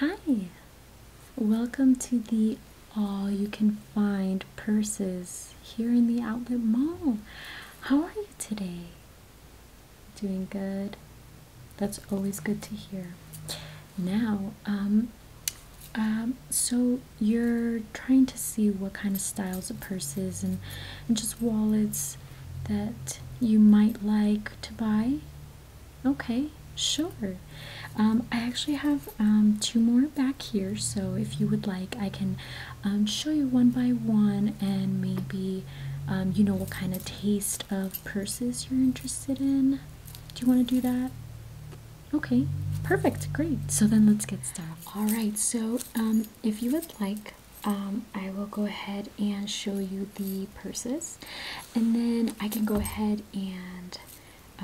Hi! Welcome to the All You Can Find Purses here in the Outlet Mall. How are you today? Doing good? That's always good to hear. Now, um, um, so you're trying to see what kind of styles of purses and, and just wallets that you might like to buy? Okay, sure. Um, I actually have um, two more back here, so if you would like, I can um, show you one by one and maybe you know what kind of taste of purses you're interested in. Do you want to do that? Okay, perfect, great. So then let's get started. All right, so if you would like, I will go ahead and show you the purses and then I can go ahead and uh,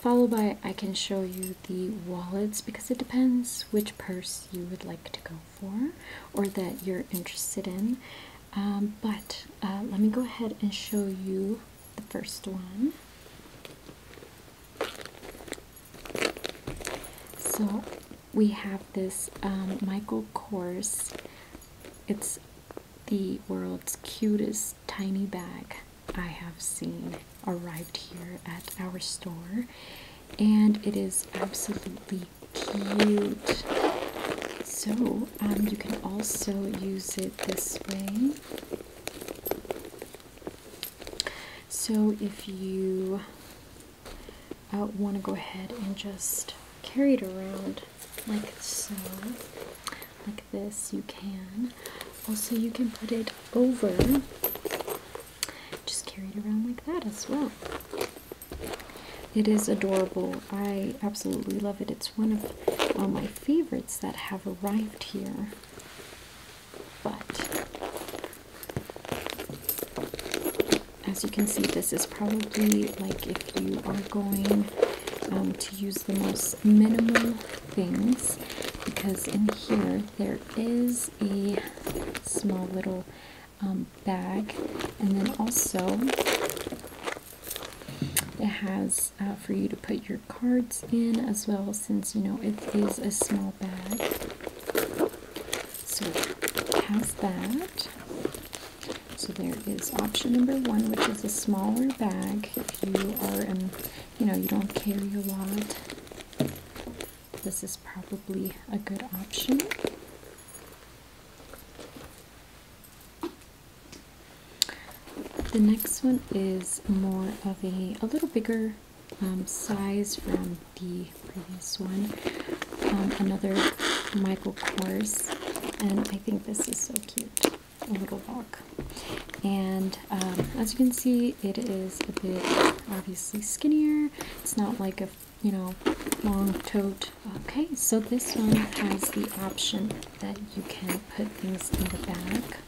follow by I can show you the wallets because it depends which purse you would like to go for or that you're interested in um, but uh, let me go ahead and show you the first one so we have this um, Michael Kors it's the world's cutest tiny bag I have seen arrived here at our store, and it is absolutely cute. So, um, you can also use it this way. So, if you I want to go ahead and just carry it around like so, like this. You can also you can put it over, just carry it around like that as well. It is adorable. I absolutely love it. It's one of my favorites that have arrived here. But as you can see, this is probably like if you are going um, to use the most minimal things because in here there is a small little um, bag and then also it has uh, for you to put your cards in as well since you know it is a small bag so has that? So there is option number one, which is a smaller bag. If you are in, you know, you don't carry a lot, this is probably a good option. The next one is more of a, a little bigger um, size from the previous one. Um, another Michael Kors, and I think this is so cute. A little rock, and um, as you can see, it is a bit obviously skinnier. It's not like a you know long tote. Okay, so this one has the option that you can put things in the back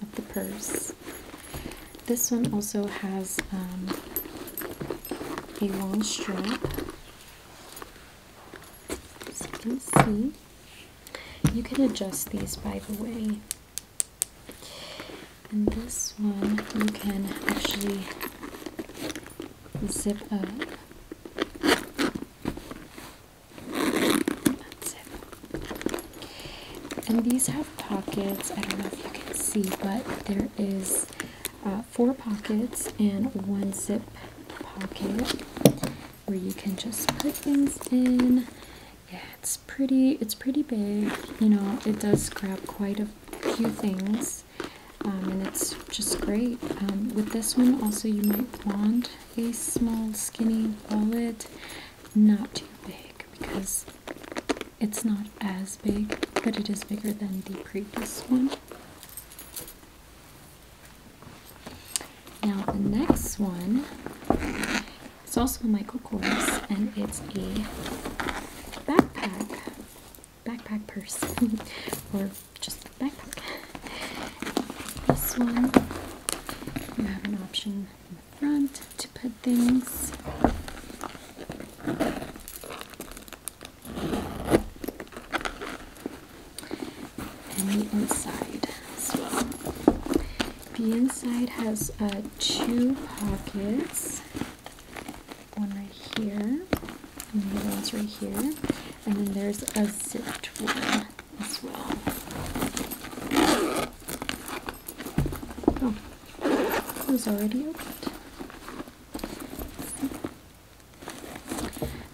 of the purse. This one also has um, a long strap as you can see you can adjust these by the way and this one you can actually zip up Unzip. and these have pockets i don't know if you can see but there is uh, four pockets and one zip pocket where you can just put things in. Yeah, it's pretty. It's pretty big. You know, it does grab quite a few things, um, and it's just great. Um, with this one, also you might want a small, skinny wallet, not too big because it's not as big, but it is bigger than the previous one. Now the next one is also a Michael Kors and it's a backpack, backpack purse, or just backpack. This one, you have an option front to put things. And the inside as well. The inside has uh, two pockets. One right here, and the other one's right here. And then there's a zipped one as well. Oh, it was already opened.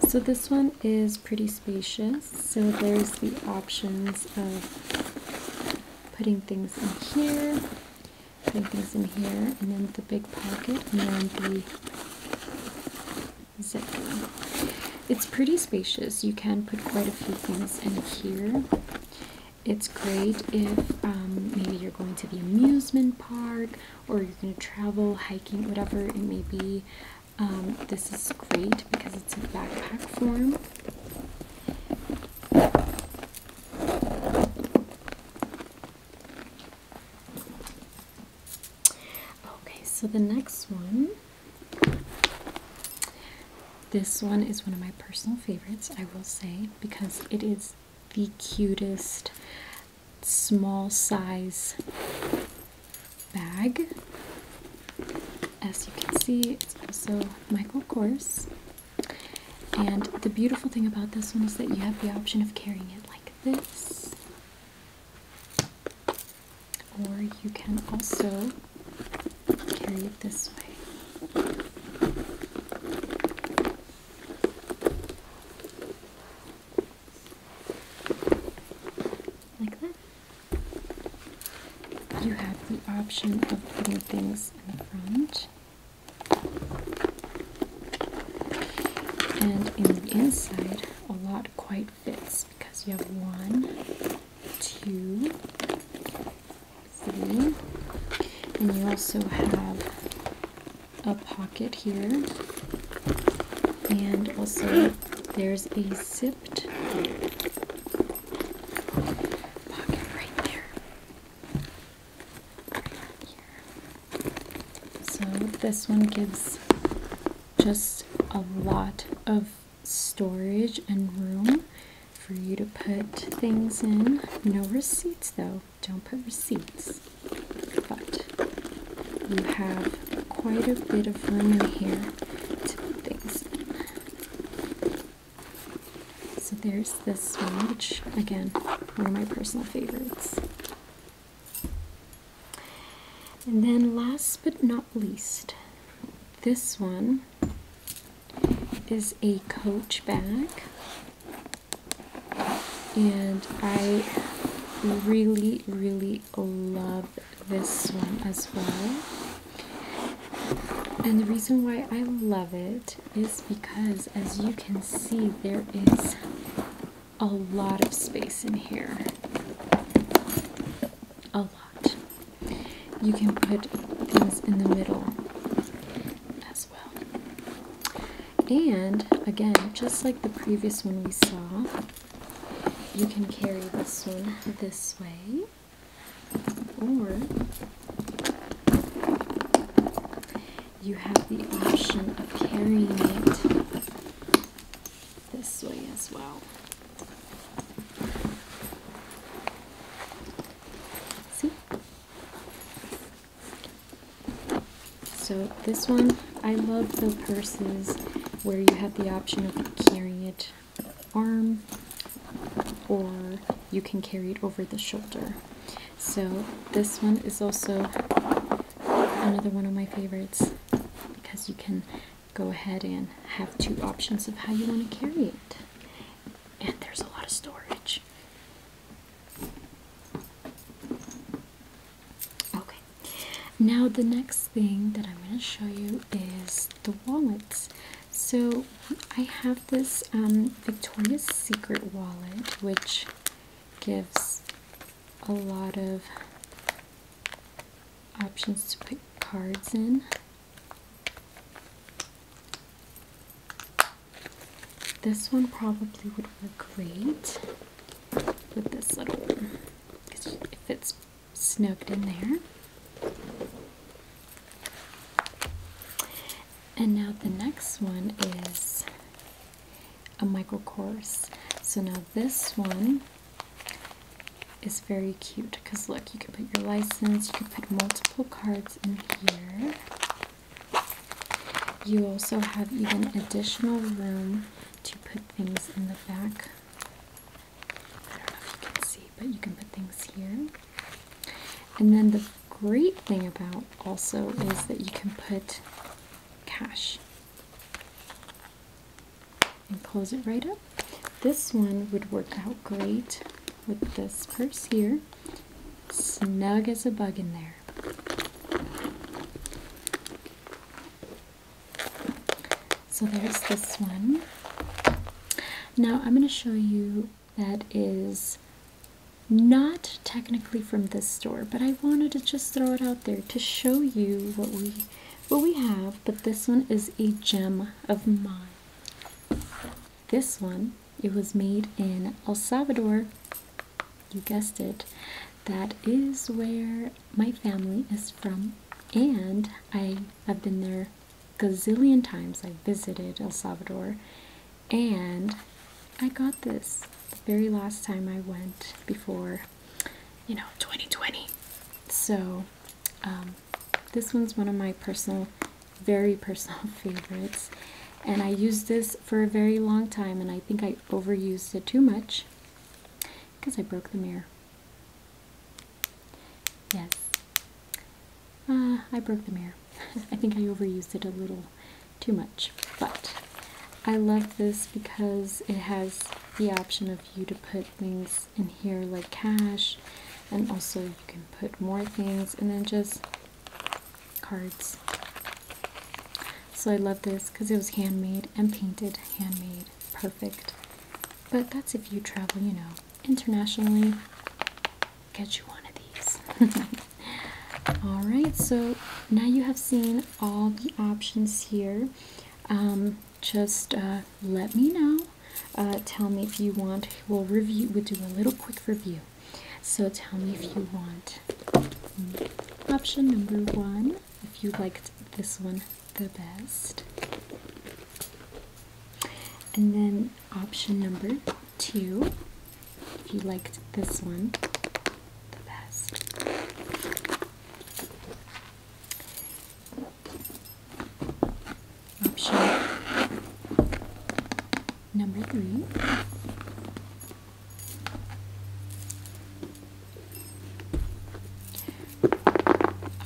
So this one is pretty spacious. So there's the options of putting things in here, putting things in here, and then the big pocket, and then the zipper. It's pretty spacious. You can put quite a few things in here. It's great if um, maybe you're going to the amusement park or you're going to travel, hiking, whatever it may be. Um, this is great because it's in backpack form. Okay, so the next one this one is one of my personal favorites, I will say, because it is the cutest small size bag. As you can see, it's also Michael Kors. And the beautiful thing about this one is that you have the option of carrying it like this, or you can also carry it this way. Like that. You have the option of putting things in the front and in the inside a lot quite fits because you have one two, three, and you also have a pocket here, and also there's a zipped pocket right there. here. So this one gives just a lot of storage and room for you to put things in. No receipts though, don't put receipts. But you have quite a bit of room in here to put things in. So there's this one, which again, are my personal favorites. And then last but not least, this one is a Coach bag, and I really, really love this one as well. And the reason why I love it is because, as you can see, there is a lot of space in here. A lot you can put things in the middle as well. And again, just like the previous one we saw, you can carry this one this way, or you have the option of carrying it this way as well. See? So this one, I love the purses where you have the option of carrying it arm or you can carry it over the shoulder. So this one is also another one of my favorites because you can go ahead and have two options of how you want to carry it. And there's a lot of storage. Okay, now the next thing that I'm going to show you is the wallets. So I have this um, Victoria's Secret wallet, which gives a lot of options to put cards in. This one probably would work great with this little one because it fits snugged in there. And now the next one is a micro course. So now this one is very cute because look, you can put your license, you can put multiple cards in here. You also have even additional room to put things in the back. I don't know if you can see, but you can put things here. And then the great thing about also is that you can put cash and close it right up. This one would work out great with this purse here. Snug as a bug in there. So there's this one. Now I'm going to show you that is not technically from this store, but I wanted to just throw it out there to show you what we well, we have, but this one is a gem of mine. This one, it was made in El Salvador. You guessed it. That is where my family is from, and I have been there gazillion times. I visited El Salvador, and I got this the very last time I went before you know 2020 so um, this one's one of my personal very personal favorites and i used this for a very long time and i think i overused it too much because i broke the mirror yes uh, i broke the mirror i think i overused it a little too much but I love this because it has the option of you to put things in here like cash, and also you can put more things and then just cards. So I love this because it was handmade and painted handmade. Perfect. But that's if you travel, you know, internationally. Get you one of these. Alright, so now you have seen all the options here um, just uh, let me know uh, tell me if you want we'll review we do a little quick review so tell me if you want option number one if you liked this one the best and then option number two if you liked this one Option number three.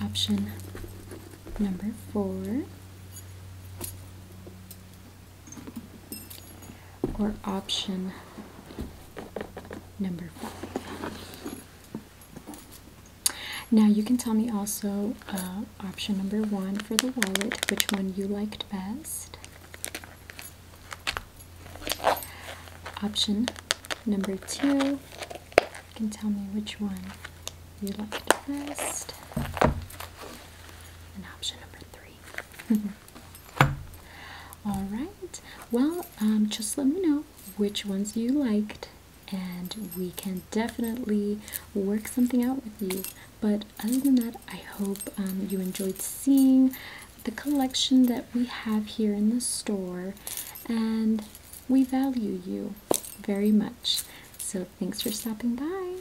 Option number four or option number five. Now you can tell me also uh, option number one for the wallet, which one you liked best. Option number two, you can tell me which one you liked best. And option number three. All right, well, um, just let me know which ones you liked, and we can definitely work something out with you. But other than that, I hope um, you enjoyed seeing the collection that we have here in the store, and we value you very much. So, thanks for stopping by.